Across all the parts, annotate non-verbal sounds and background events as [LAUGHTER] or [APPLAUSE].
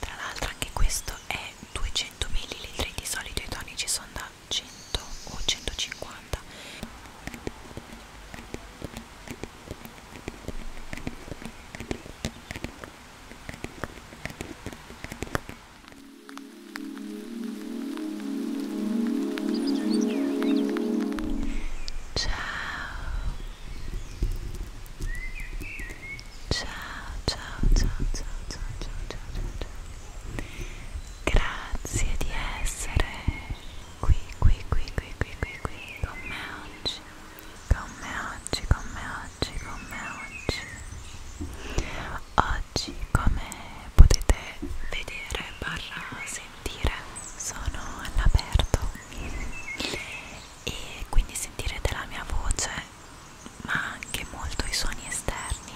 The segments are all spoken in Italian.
Tra l'altro anche questo è 200 ml, di solito i tonici sono da 100 o 150. Ciao. Ciao, ciao, ciao, ciao, ciao, ciao, ciao, ciao. Grazie di essere qui, qui, qui, qui, qui, qui, qui con me oggi. Con me oggi, con me oggi, con me oggi. Oggi, come potete vedere, barra sentire sentire sono all'aperto e quindi sentirete la mia voce ma anche molto i suoni esterni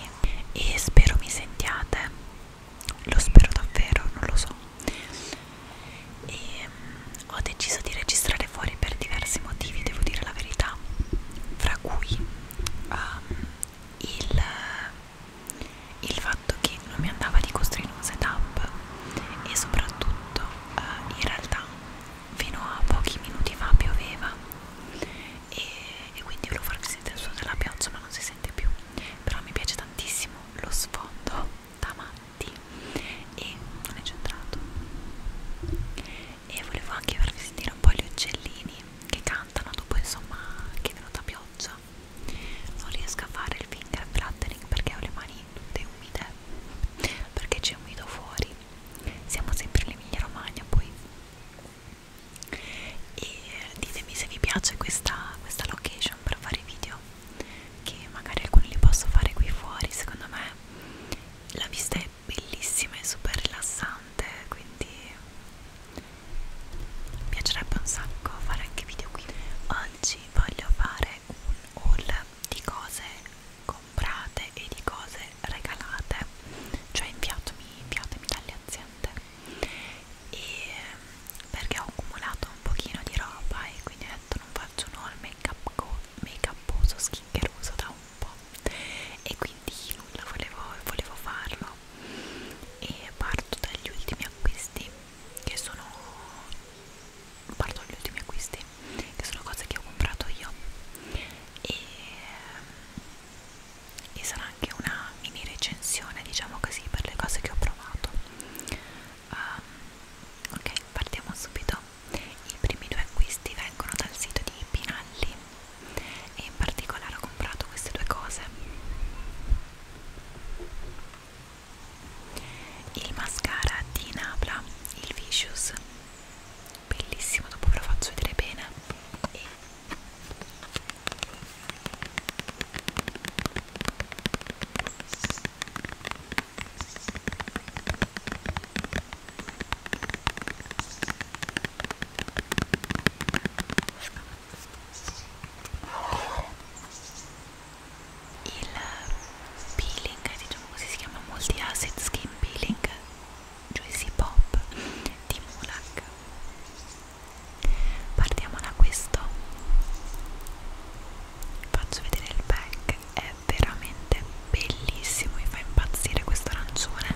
e spero mi sentiate lo spero davvero non lo so e um, ho deciso di registrare fuori per diversi motivi devo dire la verità fra cui um, il il fatto che non mi andava di costruire un setup e soprattutto eh, in realtà fino a pochi minuti fa pioveva e, e quindi volevo farvi sentire il suono della pioggia ma non si sente più però mi piace tantissimo lo sfondo davanti e non è centrato e volevo anche farvi sentire un po' gli uccellini che cantano dopo insomma che è venuta pioggia non riesco a fare il finger flattering perché ho le mani nude umide perché c'è umido fuori siamo sempre in Emilia Romagna poi e ditemi se vi piace questa, questa location per fare video che magari alcuni li posso fare qui fuori secondo me la vista è bellissima e super rilassante quindi mi piacerebbe un sacco fare anche video qui oggi oggi voglio fare un haul di cose comprate e di cose regalate cioè inviatemi, inviatemi dalle aziende e ehm, perché ho accumulato un pochino di roba e quindi ho detto non faccio un haul make up make uposo schinccheroso da un po' e quindi nulla volevo, volevo farlo e parto dagli ultimi acquisti che sono parto gli ultimi acquisti che sono cose che ho comprato io e, e sarà anche una mini recensione diciamo così per le cose che ho provato um, ok partiamo subito i primi due acquisti vengono dal sito di Pinalli e in particolare ho comprato queste due cose il mascara di Napla, il Vicious bellissimo, dopo ve lo faccio vedere bene e il peeling, diciamo così si chiama Multi Acid Skin Peeling Juicy cioè Pop di Mulak partiamo da questo faccio vedere il pack è veramente bellissimo mi fa impazzire questo arancione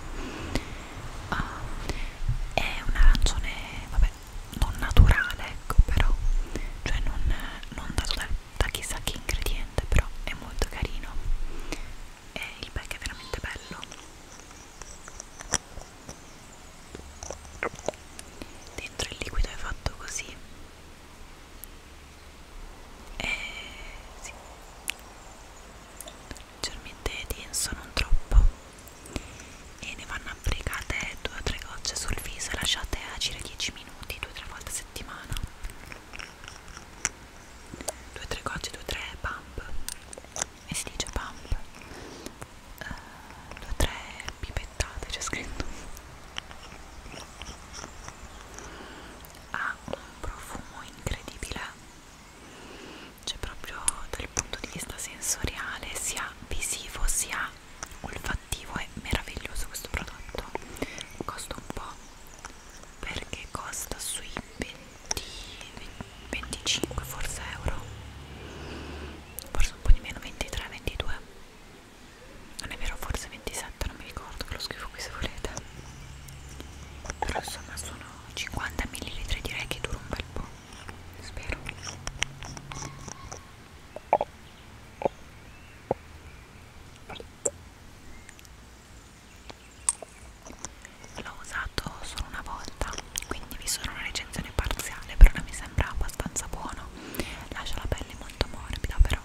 uh, è un arancione vabbè non naturale ecco però cioè non, non dato da, da chissà che ingrediente però è molto carino e il pack è veramente bello dentro il liquido è fatto così e sì leggermente denso non troppo e ne vanno applicate due o tre gocce sul viso e lasciate agire 10 minuti due o tre volte a settimana due o tre gocce, due o tre pump e si dice pump uh, due o tre pipettate c'è scritto ha un profumo incredibile cioè proprio dal punto di vista sensoriale sia visivo sia olfattivo è meraviglioso questo prodotto costa un po' perché costa sui 20, 25 forse euro forse un po' di meno 23 22 non è vero forse 27 non mi ricordo ve lo scrivo qui se volete però insomma sono 50 ml direi che dura un bel po' spero L'ho usato solo una volta, quindi vi sono una recensione parziale, però mi sembra abbastanza buono. Lascia la pelle molto morbida, però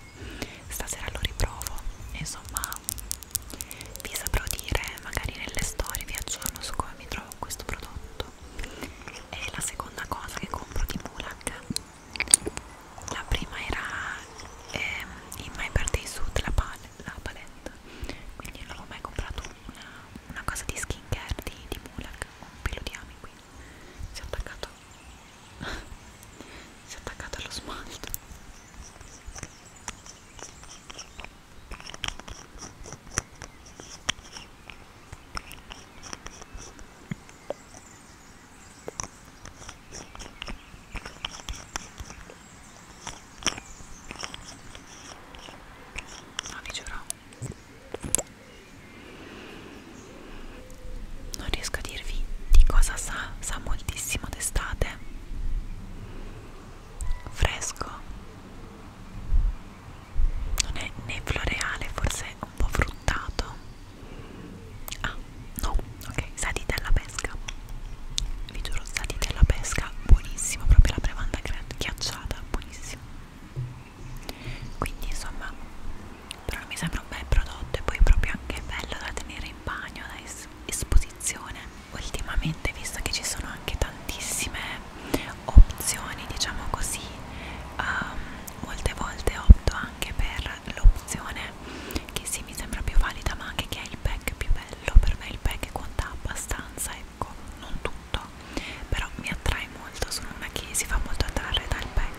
stasera lo riprovo. Insomma, vi saprò dire magari nelle storie, vi aggiorno su come mi trovo questo prodotto è la seconda cosa che compro di Mulak la prima era ehm, in My Birthday Suit la, pal la palette quindi non avevo mai comprato una, una cosa di skincare di, di Mulak un pelo di ami qui si è attaccato [LAUGHS] si è attaccato allo smalto No, ah, vi giuro. Non riesco a dirvi di cosa sa, sa moltissimo d'estate. Fresco non è né floreale, forse è un po' fruttato. Ah, no, ok, sadite alla pesca. Vi giuro, sadite alla pesca, buonissimo, proprio la bevanda ghiacciata, buonissimo. Quindi, insomma, però mi sembra un bel prodotto e poi proprio anche bello da tenere in bagno, da es esposizione. Ultimamente, visto che ci sono anche tantissime opzioni diciamo così um, molte volte opto anche per l'opzione che sì mi sembra più valida ma anche che è il pack più bello per me il pack conta abbastanza ecco non tutto però mi attrae molto sono una che si fa molto attrarre dal pack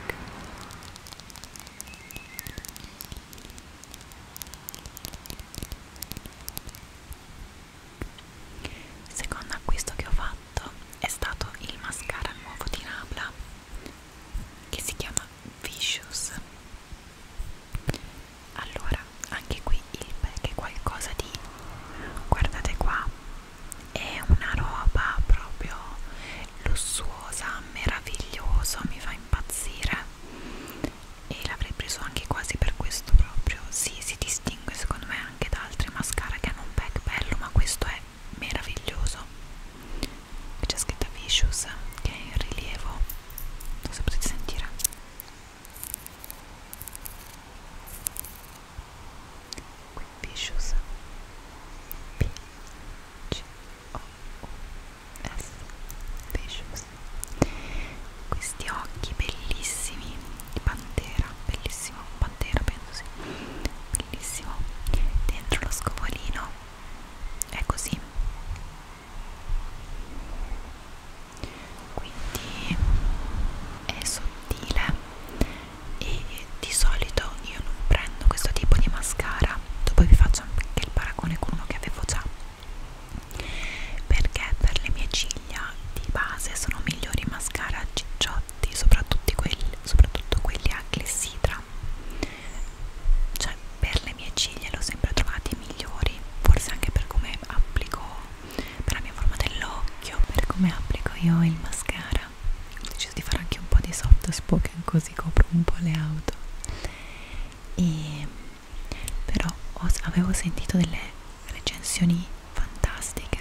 Secondo acquisto che ho fatto fatto è stato il mascara nuovo di Nabla che si chiama Vicious allora anche qui il pack è qualcosa di guardate qua è una roba proprio lussuosa meraviglioso mi fa impazzire e l'avrei preso anche quasi per questo proprio si sì, si distingue secondo me anche da altri mascara che hanno un pack bello ma questo è meraviglioso qui c'è scritta Vicious che è in rilievo non so se potete sentire qui Vicious P C O U S Vicious questi occhi bellissimi di pantera bellissimo pantera penso sì bellissimo dentro lo scovolino è così quindi è sottile e di solito io non prendo questo tipo di mascara dopo vi faccio anche il paragone con uno che avevo già perché per le mie ciglia di base sono migliori mascara cicciotto piatti, soprattutto quelli, soprattutto quelli a clessidra. Cioè, per le mie ciglia l'ho sempre trovati migliori, forse anche per come applico, per la mia forma dell'occhio, per come applico io il mascara. Ho deciso di fare anche un po' di soft spoken così copro un po' le auto. E però ho, avevo sentito delle recensioni fantastiche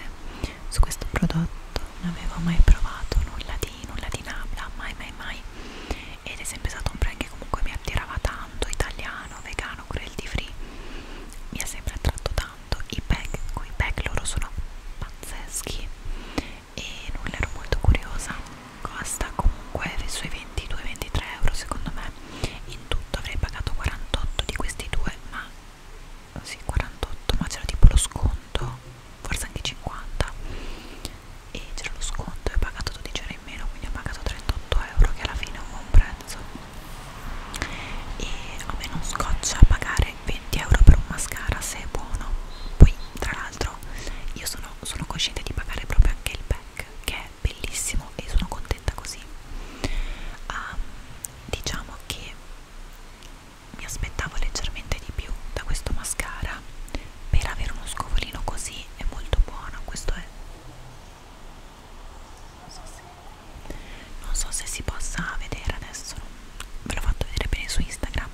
su questo prodotto, non avevo mai provato nulla di, nulla di Nabla, ah, mai mai mai ed è sempre stato un brand che comunque mi attirava tanto, italiano, vegano, cruelty free, mi ha sempre attratto tanto, i pack, i pack loro sono pazzeschi e nulla ero molto curiosa, costa comunque sui 22-23 euro secondo me, in tutto avrei pagato 48 di questi due ma sì, 48 ma c'era tipo lo sconto forse anche 50 e c'era lo sconto e ho pagato 12 euro in meno quindi ho pagato 38 euro che alla fine è un buon prezzo e a me non scoccia pagare 20 euro per un mascara se è buono poi tra l'altro io sono, sono cosciente di pagare proprio anche il back che è bellissimo e sono contenta così um, diciamo che mi aspettavo leggermente di più da questo mascara per avere uno scovolino così è molto buono questo è non so se, non so se si possa vedere adesso ve l'ho fatto vedere bene su Instagram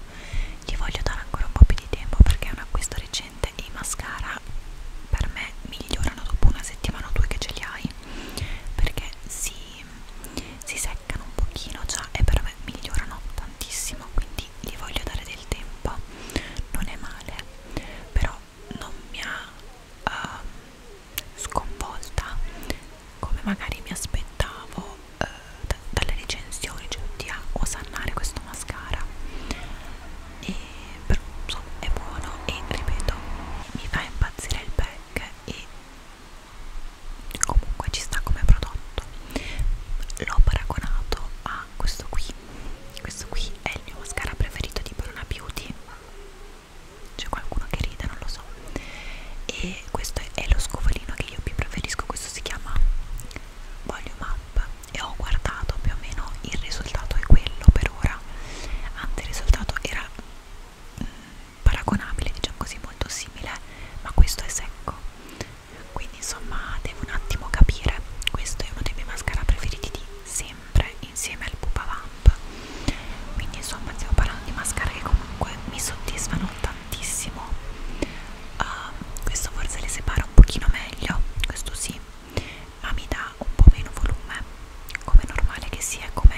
gli voglio dare ancora un po' più di tempo perché è un acquisto recente e i mascara per me migliorano dopo una settimana o due che ce li hai perché si si seccano un pochino già e per me migliorano tantissimo quindi gli voglio dare del tempo non è male però non mi ha uh, sconvolta come magari mi aspettavo uh, dalle recensioni cioè di acqua sannare questo mascara e però so, è buono e ripeto mi fa impazzire il pack e comunque ci sta come prodotto l'ho paragonato a questo qui questo qui è il mio mascara preferito di Bruna Beauty c'è qualcuno che ride, non lo so e questo è lo scovolino che io più preferisco questo si chiama Volume Up e ho guardato più o meno il risultato è quello per ora anzi il risultato era mm, paragonabile, diciamo così, molto simile, ma questo è secco. Quindi insomma devo un attimo capire, questo è uno dei miei mascara preferiti di sempre insieme al Pupa Vamp. Quindi insomma stiamo parlando di mascara che comunque mi soddisfano tantissimo. Uh, questo forse le separa un pochino meglio, questo sì, ma mi dà un po' meno volume come normale che sia, come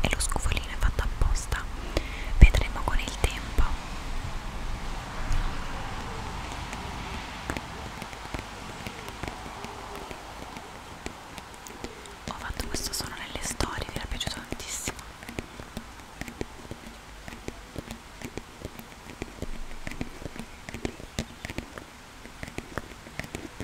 è lo scovolino è fatto apposta, vedremo con il tempo. Ho fatto questo solo nelle storie, vi era piaciuto tantissimo.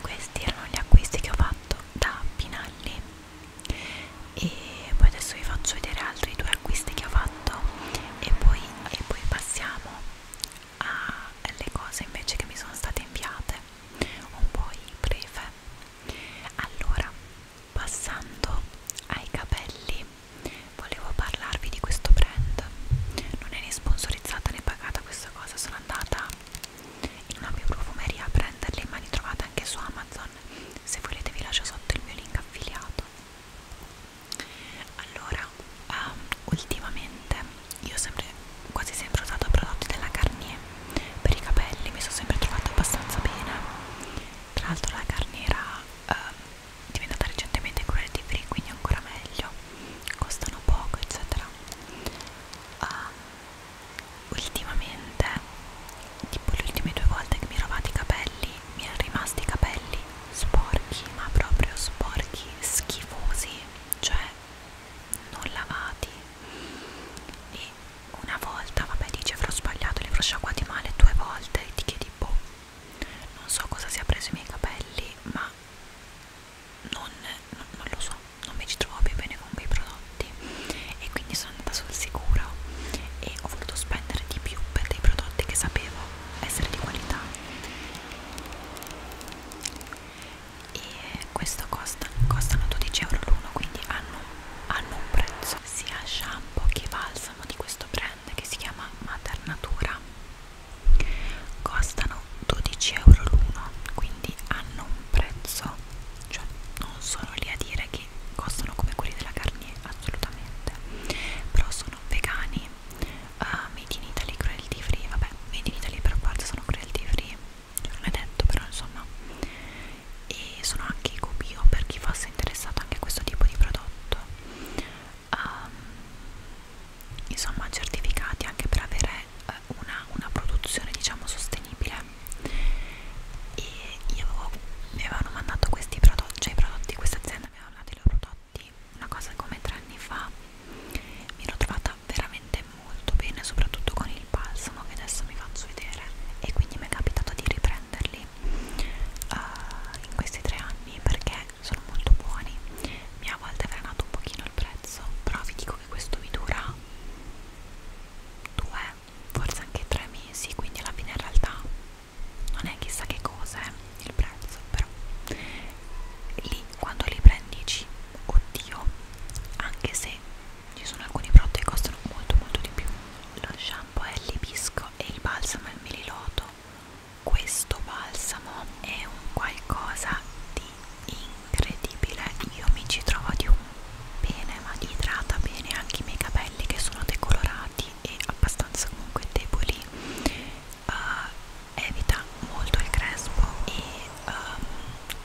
questi erano gli acquisti che ho fatto da Pinalli e poi adesso vi faccio vedere altri due acquisti che ho fatto e poi, e poi passiamo alle cose invece che mi sono state inviate un po' breve allora passando ai capelli volevo parlarvi di questo brand non è né sponsorizzata né pagata questa cosa sono andata in una mia profumeria a prenderle ma li trovate anche su Amazon se volete vi lascio sotto il mio link affiliato allora um, ultimamente io ho sempre quasi sempre usato prodotti della Garnier per i capelli mi sono sempre trovata abbastanza bene tra l'altro la Garnier era um, diventata recentemente cruelty free quindi ancora meglio costano poco eccetera uh, ultimamente tipo le ultime due volte che mi ho lavato i capelli mi erano rimasti i capelli sporchi ma proprio sporchi schifosi cioè non lavati e una volta vabbè dice avrò sbagliato li avrò sciacquati male due volte e ti chiedi boh non so cosa sia preso i miei capelli ma non, non, non lo so, non mi ci trovavo più bene con quei prodotti e quindi sono andata sul sicuro e ho voluto spendere di più per dei prodotti che sapevo essere di qualità e questo costa, costano 12 euro l'uno quindi hanno, hanno un prezzo sia shampoo che balsamo di questo brand che si chiama Maternatura costano 12 euro l'uno quindi hanno un prezzo cioè non sono lì a dire che costano come quelli della carne assolutamente però sono vegani uh, made in Italy cruelty free vabbè made in Italy per forza sono cruelty free cioè, non è detto però insomma e sono anche ecobio per chi fosse interessato anche a questo tipo di prodotto um, insomma certificati anche per avere uh, una, una produzione diciamo sostenibile e io avevo, mi avevano mandato questi prodotti cioè i prodotti questa azienda mi aveva mandato i loro prodotti una cosa come tre anni fa mi l'ho trovata veramente molto bene soprattutto con il balsamo che adesso mi faccio vedere e quindi mi è capitato di riprenderli uh, in questi tre anni perché sono molto buoni mi ha a volte frenato un pochino il prezzo però vi dico che questo vi dura due forse anche tre mesi quindi alla fine in realtà non è chissà che cosa eh, il prezzo però lì quando li prendi dici oddio anche se ci sono alcuni prodotti che costano molto molto di più lo shampoo è il l'ibisco e il balsamo è il meliloto questo balsamo è un qualcosa di incredibile io mi ci trovo di un bene ma idrata bene anche i miei capelli che sono decolorati e abbastanza comunque deboli uh, evita molto il crespo e um,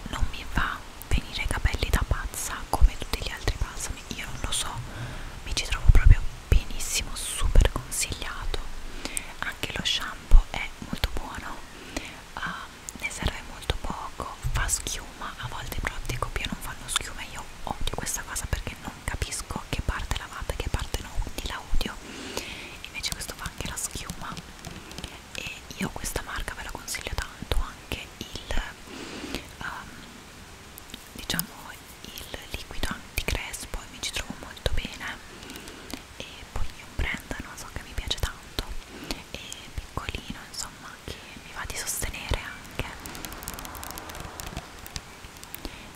non mi fa venire i capelli da pazza come tutti gli altri balsami io non lo so mi ci trovo proprio benissimo super consigliato anche lo shampoo è molto buono uh, ne serve molto poco fa schiuma a volte i prodotti copia non fanno schiuma io odio questa cosa perché non capisco che parte lavata e che parte no quindi la odio invece questo fa anche la schiuma e io questa marca ve la consiglio tanto anche il um, diciamo il liquido anticrespo e mi ci trovo molto bene e poi è un brand non so che mi piace tanto e piccolino insomma che mi va di sostenere anche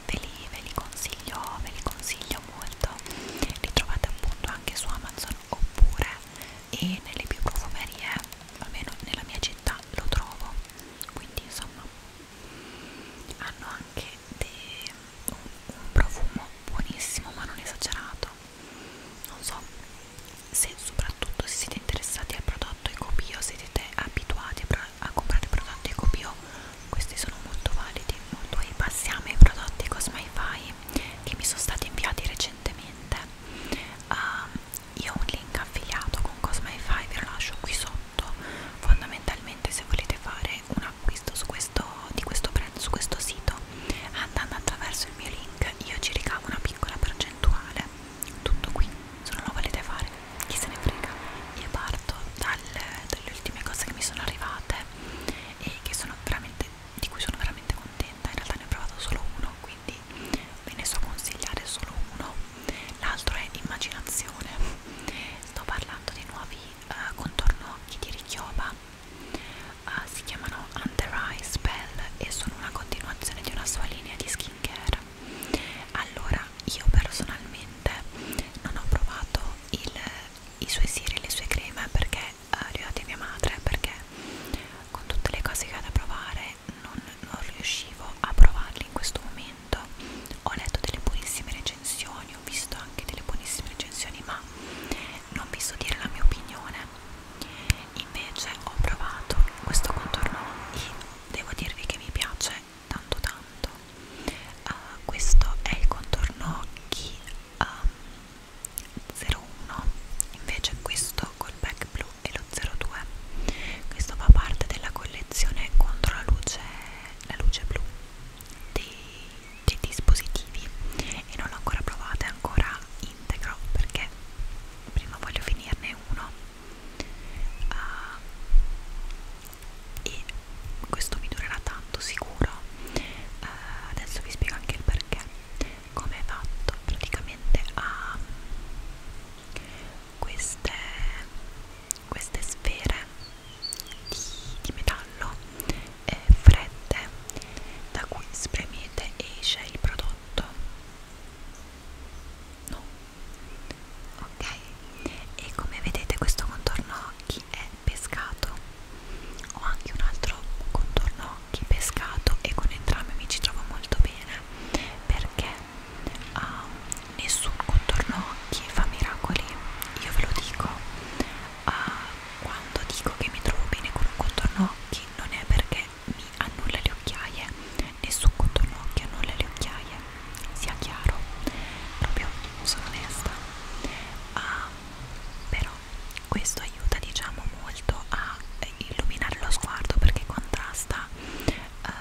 ve li, ve li consiglio ve li consiglio molto li trovate appunto anche su Amazon oppure e nelle più profumerie almeno nella mia città lo trovo quindi insomma hanno anche dei un, un profumo buonissimo ma non esagerato non so se soprattutto se siete interessati al prodotto ecopio se siete abituati a comprare prodotti ecopio questi sono molto validi poi passiamo ai prodotti Cosmify che mi sono stati inviati recentemente uh, io ho un link affiliato con Cosmify ve lo lascio qui sotto fondamentalmente ovviamente se volete fare un acquisto su questo, di questo brand su questo sito andando attraverso il mio link io ci ricavo una piccola percentuale tutto qui se non lo volete fare chi se ne frega io parto dal, dalle ultime cose che mi sono arrivate e che sono veramente di cui sono veramente contenta in realtà ne ho provato solo uno quindi ve ne so consigliare solo uno l'altro è immaginazione sto parlando di nuovi uh, contorno occhi di Richioba uh, eh, si chiamano Under Eye Spell e sono una continuazione di una sua linea di skincare allora io personalmente non ho provato il, i suoi siri e le sue creme perché uh, li ho dati a mia madre perché con tutte le cose che ho da provare non, non riuscivo a provarli in questo momento ho letto delle buonissime recensioni testimoni, ho visto anche delle buonissime recensioni, ma non vi so dire la mia opinione. Invece ho provato questo contorno e devo dirvi che mi piace tanto tanto. Uh, questo è il contorno occhi uh, 01, invece questo col back blu è lo 02. Questo fa parte della collezione contro la luce, la luce blu dei, dei dispositivi e non l'ho ancora provata, è ancora integro perché prima voglio finirne uno uh, e questo mi durerà tanto sicuro uh, adesso vi spiego anche il perché come è fatto praticamente ha ah, queste queste sfere di, di metallo eh, fredde da cui spremete e esce il prodotto no ok e come vedete questo contorno occhi è pescato ho anche un altro contorno occhi pescato e con entrambi mi ci trovo molto bene perché uh, nessun contorno occhi fa miracoli io ve lo dico uh, quando dico che mi trovo bene con un contorno occhi non è perché mi annulla le occhiaie nessun contorno occhi annulla le occhiaie sia chiaro proprio sono onesta uh, però questo aiuta diciamo molto a illuminare lo sguardo perché contrasta uh,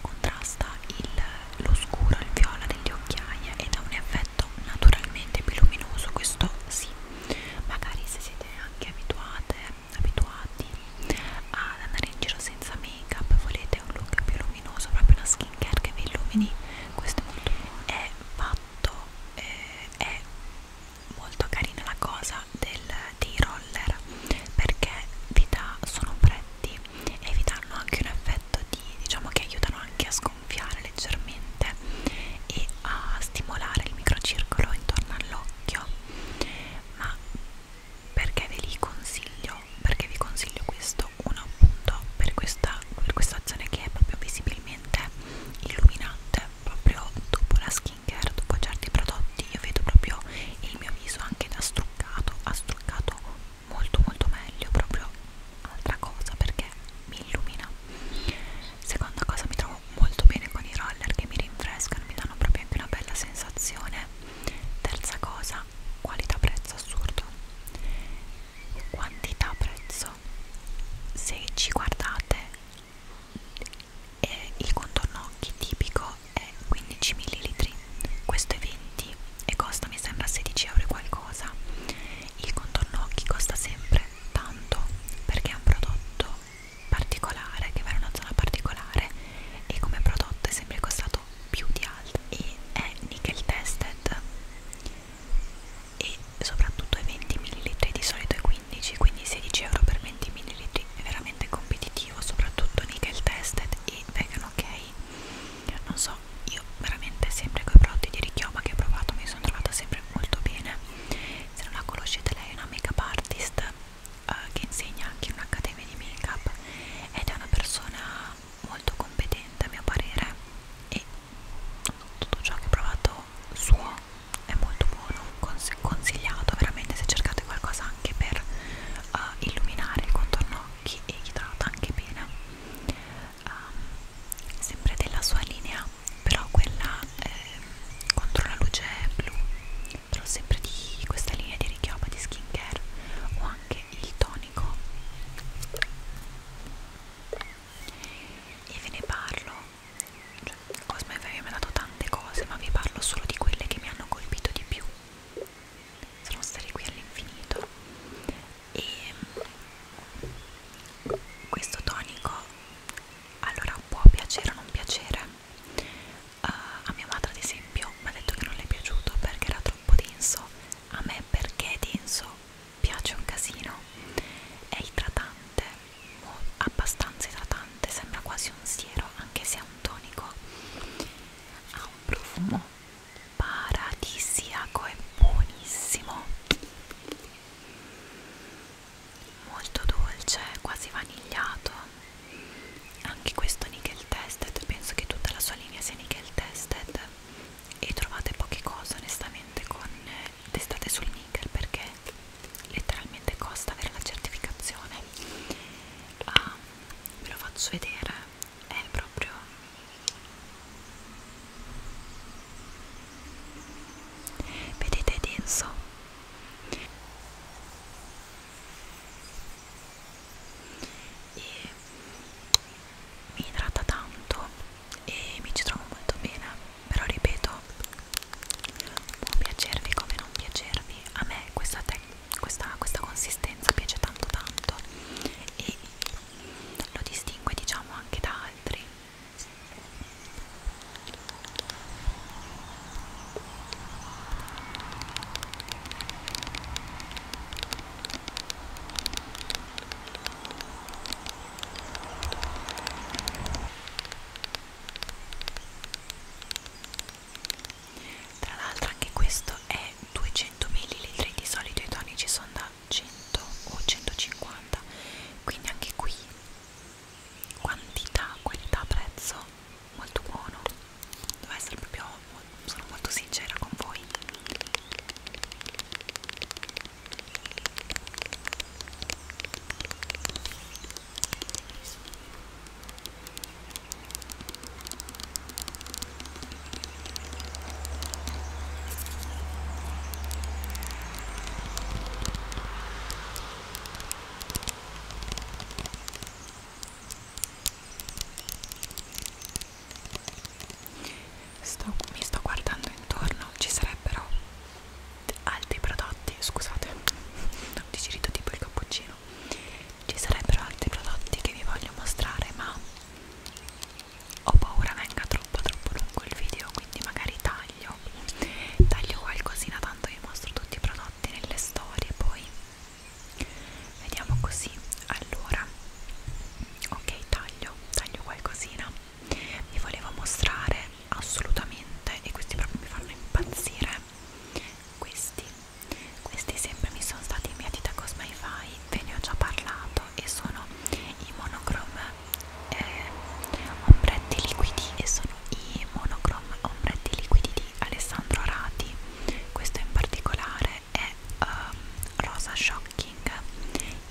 contrasta il lo scuro, il viola degli occhiaie ed ha un effetto naturalmente più luminoso, questo sì. Magari se siete anche abituate, abituati ad andare in giro senza make up, volete un look più luminoso, proprio una skincare che vi illumini, questo è molto è fatto, eh, è molto carina la cosa del, dei roller perché vi dà, sono pretti e vi danno anche un effetto di, diciamo che aiutano anche a scoprire gonfiare leggermente e a stimolare il microcircolo intorno all'occhio ma perché ve li consiglio? perché vi consiglio questo? uno appunto per questa, per questa azione che è proprio visibilmente illuminante proprio dopo la skincare, dopo certi prodotti io vedo proprio il mio viso anche da struccato, ha struccato molto molto meglio proprio altra cosa perché mi illumina seconda cosa mi trovo molto bene con i roller che mi rinfrescano mi danno proprio anche una bella sensazione terza cosa qualità prezzo assurdo quantità prezzo se ci guardate e eh, il contorno occhi tipico è 15 ml questo è 20 e costa mi sembra 16 euro qualcosa il contorno occhi costa sempre tanto perché è un prodotto particolare che va in una zona particolare e come prodotto è sempre costato più di altri e è nickel tested e soprattutto è 20 ml di solito è 15 quindi 16 euro per 20 ml è veramente competitivo soprattutto nickel tested e vegan ok non so io veramente sempre con i prodotti di richioma che ho provato mi sono trovata sempre molto bene se non la conoscete lei è una make up artist eh, che insegna anche in un'accademia di make up ed è una persona molto competente a mio parere e tutto ciò che ho provato suo è molto buono cons consigliato veramente se cercate qualcosa anche per uh, illuminare il contorno occhi e idrata anche bene um, sempre della sua linea però quella eh, contro la luce blu però sempre di questa linea di richioma di skincare o anche il tonico e ve ne parlo cioè, Cosmo mi ha dato tante cose ma vi parlo solo di quelle che mi hanno colpito di più sono stare qui all'infinito e mm, questo tonico allora può piacere o non piacere uh, a mia madre ad esempio mi ha detto che non le è piaciuto perché era troppo denso a me perché è denso piace un casino è idratante abbastanza idratante sembra quasi un siero anche se è un tonico ha un profumo paradisiaco e buonissimo molto dolce quasi vanigliato anche questo nickel tested penso che tutta la sua linea sia nickel tested e trovate poche cose onestamente con testate sul nickel perché letteralmente costa avere la certificazione ah, ve lo faccio vedere è proprio vedete è denso e mi idrata tanto e mi ci trovo molto bene però ripeto può piacervi come non piacervi a me questa, questa, questa consistenza piace tanto tanto e lo distingue diciamo anche da altri tra l'altro anche questo è 200 ml di solito i tonici sono da 100 o 150 quindi anche qui quantità qualità prezzo molto buono devo essere proprio sono molto sincera con voi Sto, mi sto guardando intorno, ci sarebbero altri prodotti, scusate, [LAUGHS] ho digerito tipo il cappuccino, ci sarebbero altri prodotti che vi voglio mostrare ma ho paura venga troppo troppo lungo il video quindi magari taglio taglio qualcosina tanto vi mostro tutti i prodotti nelle storie poi vediamo così allora ok taglio taglio qualcosina vi volevo mostrare assolutamente e questi proprio mi fanno impazzire questi questi sempre mi sono stati inviati da Cosmify ve ne ho già parlato usato e sono i monochrome eh, ombretti liquidi e sono i monochrome ombretti liquidi di Alessandro Arati questo in particolare è um, rosa shocking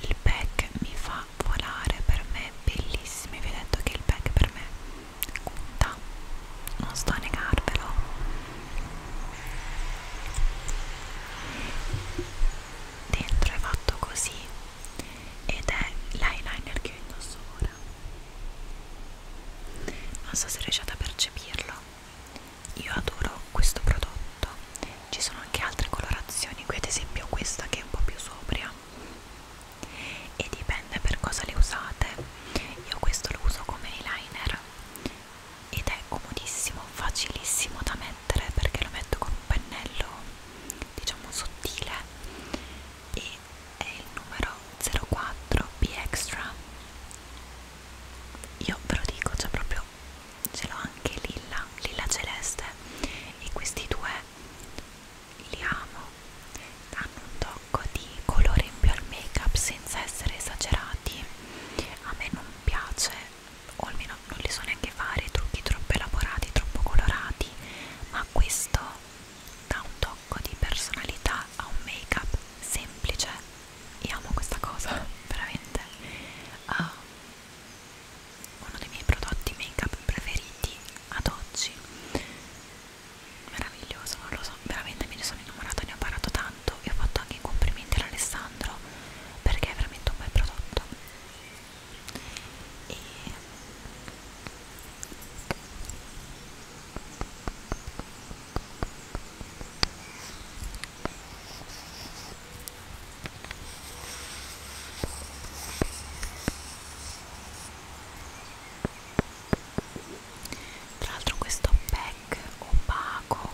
il pack mi fa volare per me bellissimo vi ho detto che il pack per me conta non sto a negarvelo dentro è fatto così ed è l'eyeliner che indosso ora non so se riuscite a percepirlo io adoro questo prodotto ci sono anche altre colorazioni qui ad esempio questa che è un po' più sobria e dipende per cosa le usate io questo lo uso come eyeliner ed è comodissimo, facilissimo da mettere perché lo metto con un pennello diciamo sottile e è il numero 04 B Extra io ve lo dico c'è cioè proprio ce l'ho anche lilla lilla celeste e questi due li amo hanno un tocco di colore in più al make up senza essere esagerati a me non piace o almeno non li so neanche fare trucchi troppo elaborati, troppo colorati ma questo dà un tocco di personalità a un make up semplice io amo questa cosa, [LAUGHS] veramente uh, uno dei miei prodotti make up preferiti ad oggi meraviglioso, non lo so, veramente me ne sono innamorata, ne ho parlato tanto tanto e ho fatto anche i complimenti ad Alessandro perché è veramente un bel prodotto e tra l'altro questo pack opaco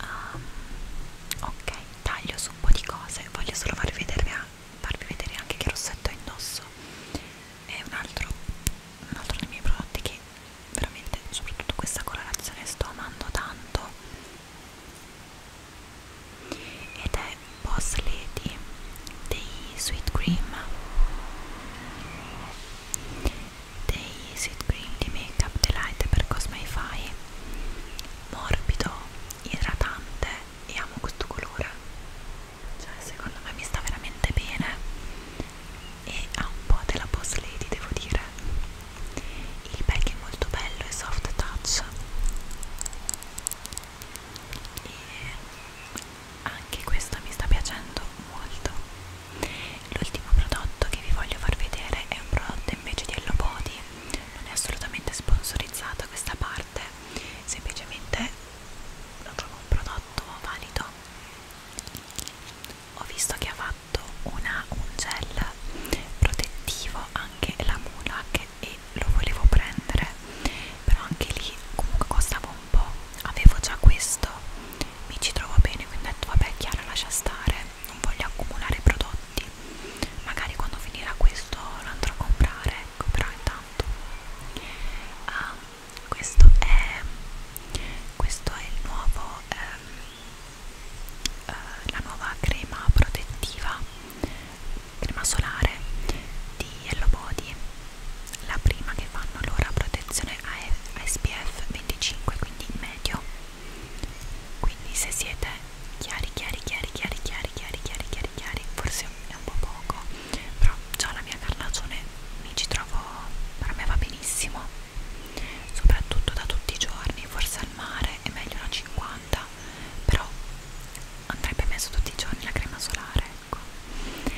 um, ok taglio su un po' di cose voglio solo farvi vedere, farvi vedere anche che rossetto indosso è un altro, un altro dei miei prodotti che veramente soprattutto questa colorazione sto amando tanto ed è Boss Lady dei Sweet Cream dei Sit Cream di Make Up Delight per Cosmify morbido, idratante e amo questo colore cioè secondo me mi sta veramente bene e ha un po' della Boss Lady devo dire il pack è molto bello e soft touch e anche questo mi sta piacendo molto l'ultimo prodotto che vi voglio far vedere è un prodotto invece di Hello Body non è assolutamente sponsorizzata questa parte semplicemente lo trovo un prodotto valido ho visto che ha fatto una, un gel protettivo anche la Mulak e lo volevo prendere però anche lì comunque costava un po' avevo già questo mi ci trovo bene quindi ho detto vabbè Chiara lascia stare non voglio accumulare prodotti magari quando finirà questo lo andrò a comprare ecco però intanto ah, questo è questo è il nuovo ehm, eh, la nuova crema protettiva crema solare di Hello Body la prima che fanno loro ha protezione AF, SPF 25 quindi medio quindi se siete chiari chiari chiari chiari chiari chiari chiari chiari chiari forse è un po' poco però già la mia carnagione mi ci trovo per me va benissimo soprattutto da tutti i giorni forse al mare è meglio una 50 però andrebbe messo tutti i giorni la crema solare bianco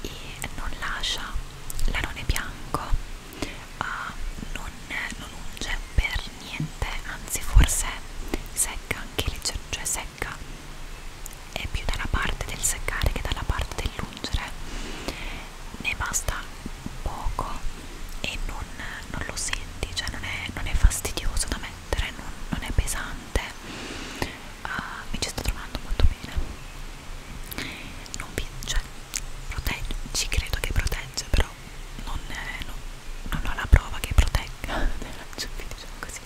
e non lascia l'anone bianco uh, non, non unge per niente anzi forse secca anche leggero cioè secca è più dalla parte del seccare che dalla parte dell'ungere ne basta poco e non, non lo senti cioè non è, non è fastidioso da mettere non, non è pesante uh, mi ci sto trovando molto bene non vi, cioè, protegge, ci credo che protegge, però non, eh, no, non ho la prova che protegga, [LAUGHS] cioè, diciamo così,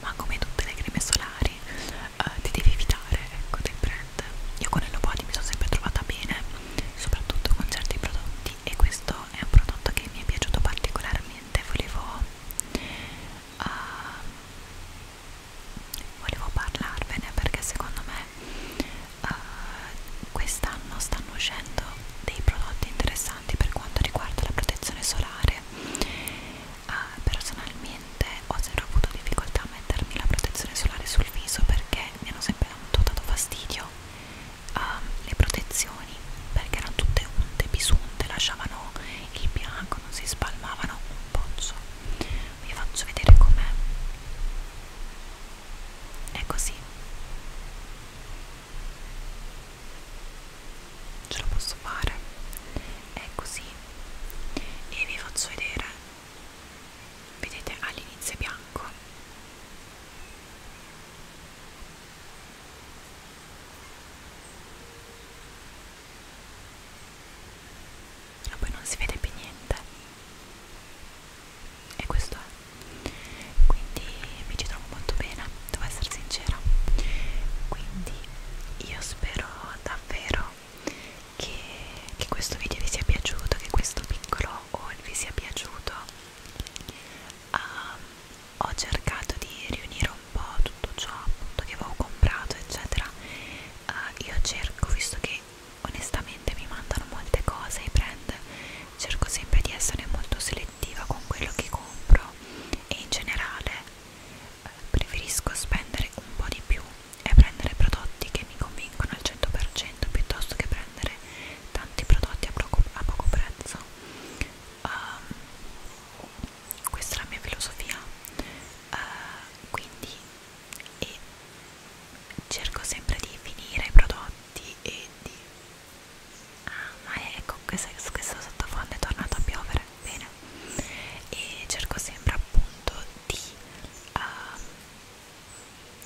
ma come tutte le creme solari eh, ti devi evitare, ecco, del brand. Io con il body mi sono sempre trovata bene, soprattutto con certi prodotti e questo è un prodotto che mi è piaciuto particolarmente, volevo... Uh, volevo parlarvene perché secondo me uh, quest'anno stanno uscendo dei prodotti interessanti per quanto riguarda la protezione solare uh, personalmente ho sempre avuto difficoltà a mettermi la protezione solare sul viso perché mi hanno sempre dato, dato fastidio uh, le protezioni perché erano tutte unte, bisunte, lasciavano il bianco, non si spalmavano un pozzo vi faccio vedere com'è è così ce lo posso fare è così e vi faccio vedere vedete all'inizio è bianco ma poi non si vede più niente e questo è quindi mi ci trovo molto bene devo essere sincera quindi io spero davvero che, che questo video vi sia piaciuto che questo piccolo haul vi sia piaciuto um, ho cercato di riunire un po' tutto ciò appunto che avevo comprato eccetera eh, io cerco visto che onestamente mi mandano molte cose i brand cerco sempre di essere molto selettiva con quello che compro e in generale eh, preferisco spendere un po' di più e prendere prodotti che mi convincono al 100% piuttosto che prendere tanti prodotti a poco, a poco prezzo um, questa è la mia filosofia uh, quindi e cerco sempre di finire i prodotti e di ah ma ecco questo, questo sottofondo è tornato a piovere bene e cerco sempre appunto di uh,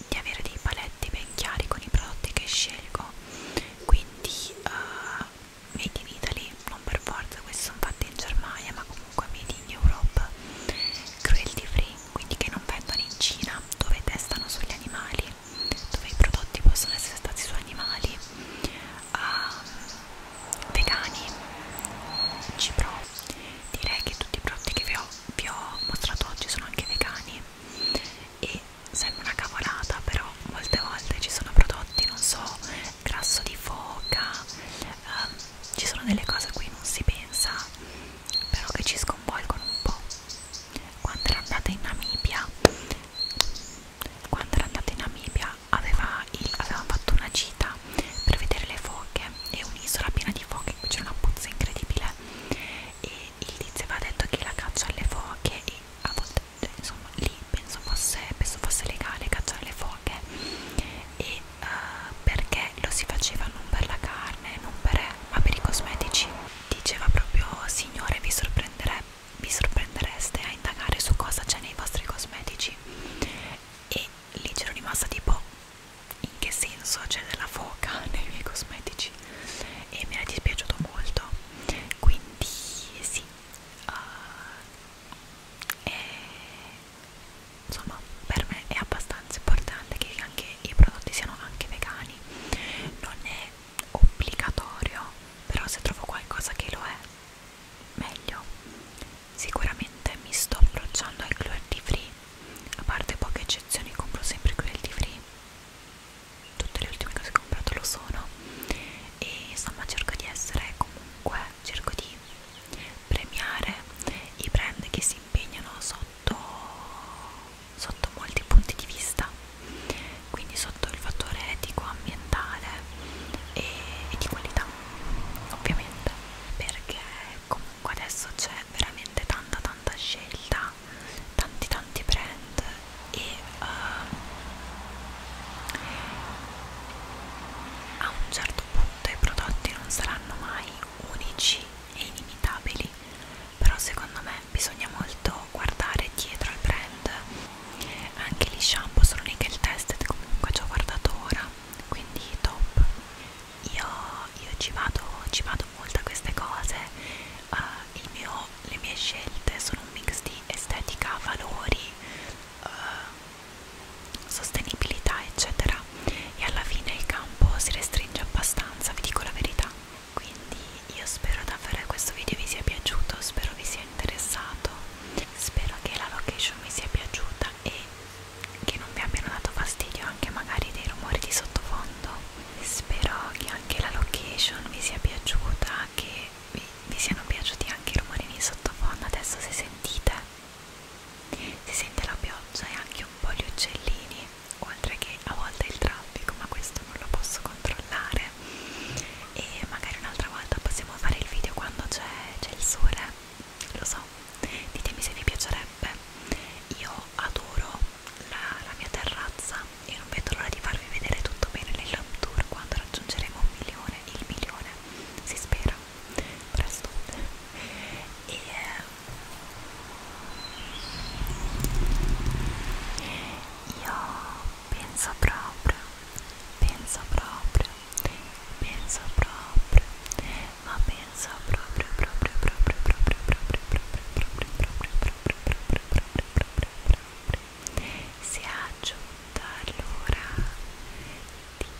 di avere dei paletti ben chiari con i prodotti che scelgo quindi uh, Made in Italy lì, non per forza, questi sono fatti in Germania ma comunque made in Europe cruelty free, quindi che non vendono in Cina dove testano sugli animali dove i prodotti possono essere stati su animali uh, vegani cipro direi che tutti i prodotti che vi ho, vi ho mostrato oggi sono anche vegani e sembra una cavolata però molte volte ci sono prodotti non so grasso di foca, um, ci sono delle cose a cui non si pensa, però che ci sconvolgono un po'. Quando era andata in Namibia, quando era andata in Namibia aveva il, avevamo fatto una gita per vedere le foche e un'isola piena di foche, qui c'è una puzza incredibile e il tizio aveva detto che la caccia alle foche e a volte, cioè, insomma, lì penso fosse, penso fosse legale cacciare le foche e uh, perché lo si faceva non per la carne, non per, ma per i cosmetici diceva proprio signore vi, vi sorprendereste a indagare su cosa c'è nei vostri cosmetici e lì c'ero rimasta tipo in che senso c'è della foca [LAUGHS] nei miei cosmetici e mi è dispiaciuto molto quindi sì uh, e insomma per me è abbastanza importante che anche i prodotti siano anche vegani non è obbligatorio però se trovo qualcosa che lo è meglio sicuramente mi sto approcciando ai cruelty free a parte poche eccezioni compro sempre cruelty free tutte le ultime cose che ho comprato lo sono e insomma cerco di essere comunque cerco di di premiare i brand che si impegnano sotto, sotto molti punti di vista quindi sotto il fattore etico, ambientale e, e di qualità ovviamente perché comunque adesso c'è veramente tanta tanta scelta tanti tanti brand e uh, a un certo certo punto i prodotti non saranno mai unici e inimitabili, però secondo me bisogna molto guardare dietro al brand. Anche gli shampoo sono nickel tested, comunque ci ho guardato ora, quindi top. Io, io ci, vado, ci vado molto a queste cose, uh, il mio, le mie scelte sono un mix di estetica, valori, uh, sostenibilità eccetera e alla fine il campo si restringe abbastanza vi dico la verità quindi io spero davvero che questo video vi sia piaciuto spero vi sia interessato spero che la location vi sia piaciuta e che non vi abbiano dato fastidio anche magari dei rumori di sottofondo spero che anche la location vi sia piaciuta che vi, vi siano piaciuti anche i rumori di sottofondo adesso se sentite si sente la pioggia e anche un po' gli uccellini, oltre che a volte il traffico, ma questo non lo posso controllare. E magari un'altra volta possiamo fare il video quando c'è il sole, lo so, ditemi se vi piacerebbe. Io adoro la, la mia terrazza e non vedo l'ora di farvi vedere tutto bene nel lab tour quando raggiungeremo un milione, il milione, si spera presto e, io penso proprio penso proprio penso proprio ma penso proprio proprio proprio proprio proprio proprio proprio proprio proprio proprio proprio se aggiunto allora ti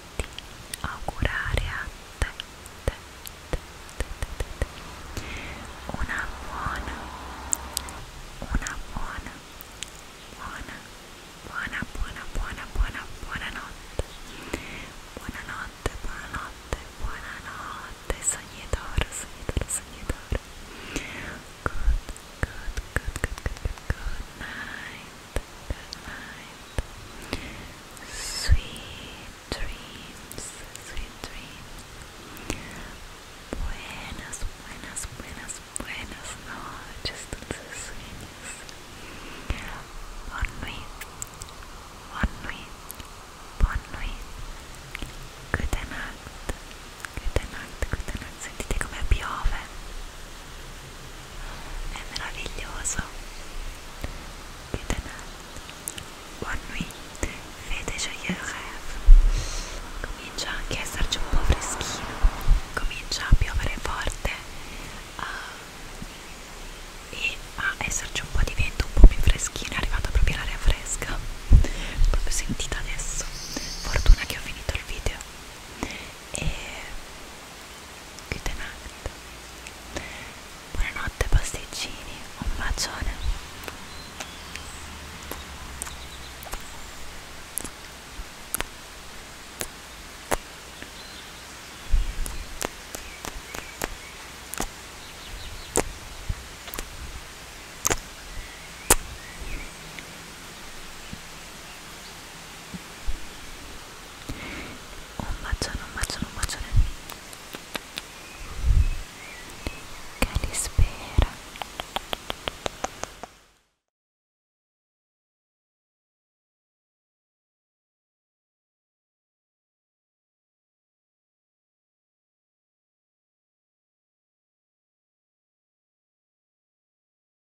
di augurare una buona, una buona, buona, buona, buona, buona, buona, buona notte. Buonanotte, buonanotte, buonanotte, sognatore, sognatore, sognatore. good, good, good, good, good, good night good night. Sweet dreams, sweet dreams. Buenas, buenas, buenas, buenas noches, dulces sueños. Bonne nuit, bonne nuit, bonne nuit. Good night, good night, good night. Sentite come piove. è meraviglioso che tenere buon nuit fede gioia comincia anche a esserci un po' freschino comincia a piovere forte uh, e a esserci un po' di vento un po' più freschino è arrivata proprio l'aria fresca l'ho proprio sentita adesso fortuna che ho finito il video e chiude night buonanotte pasticcini un bacione un bacione un bacione un bacione che li spera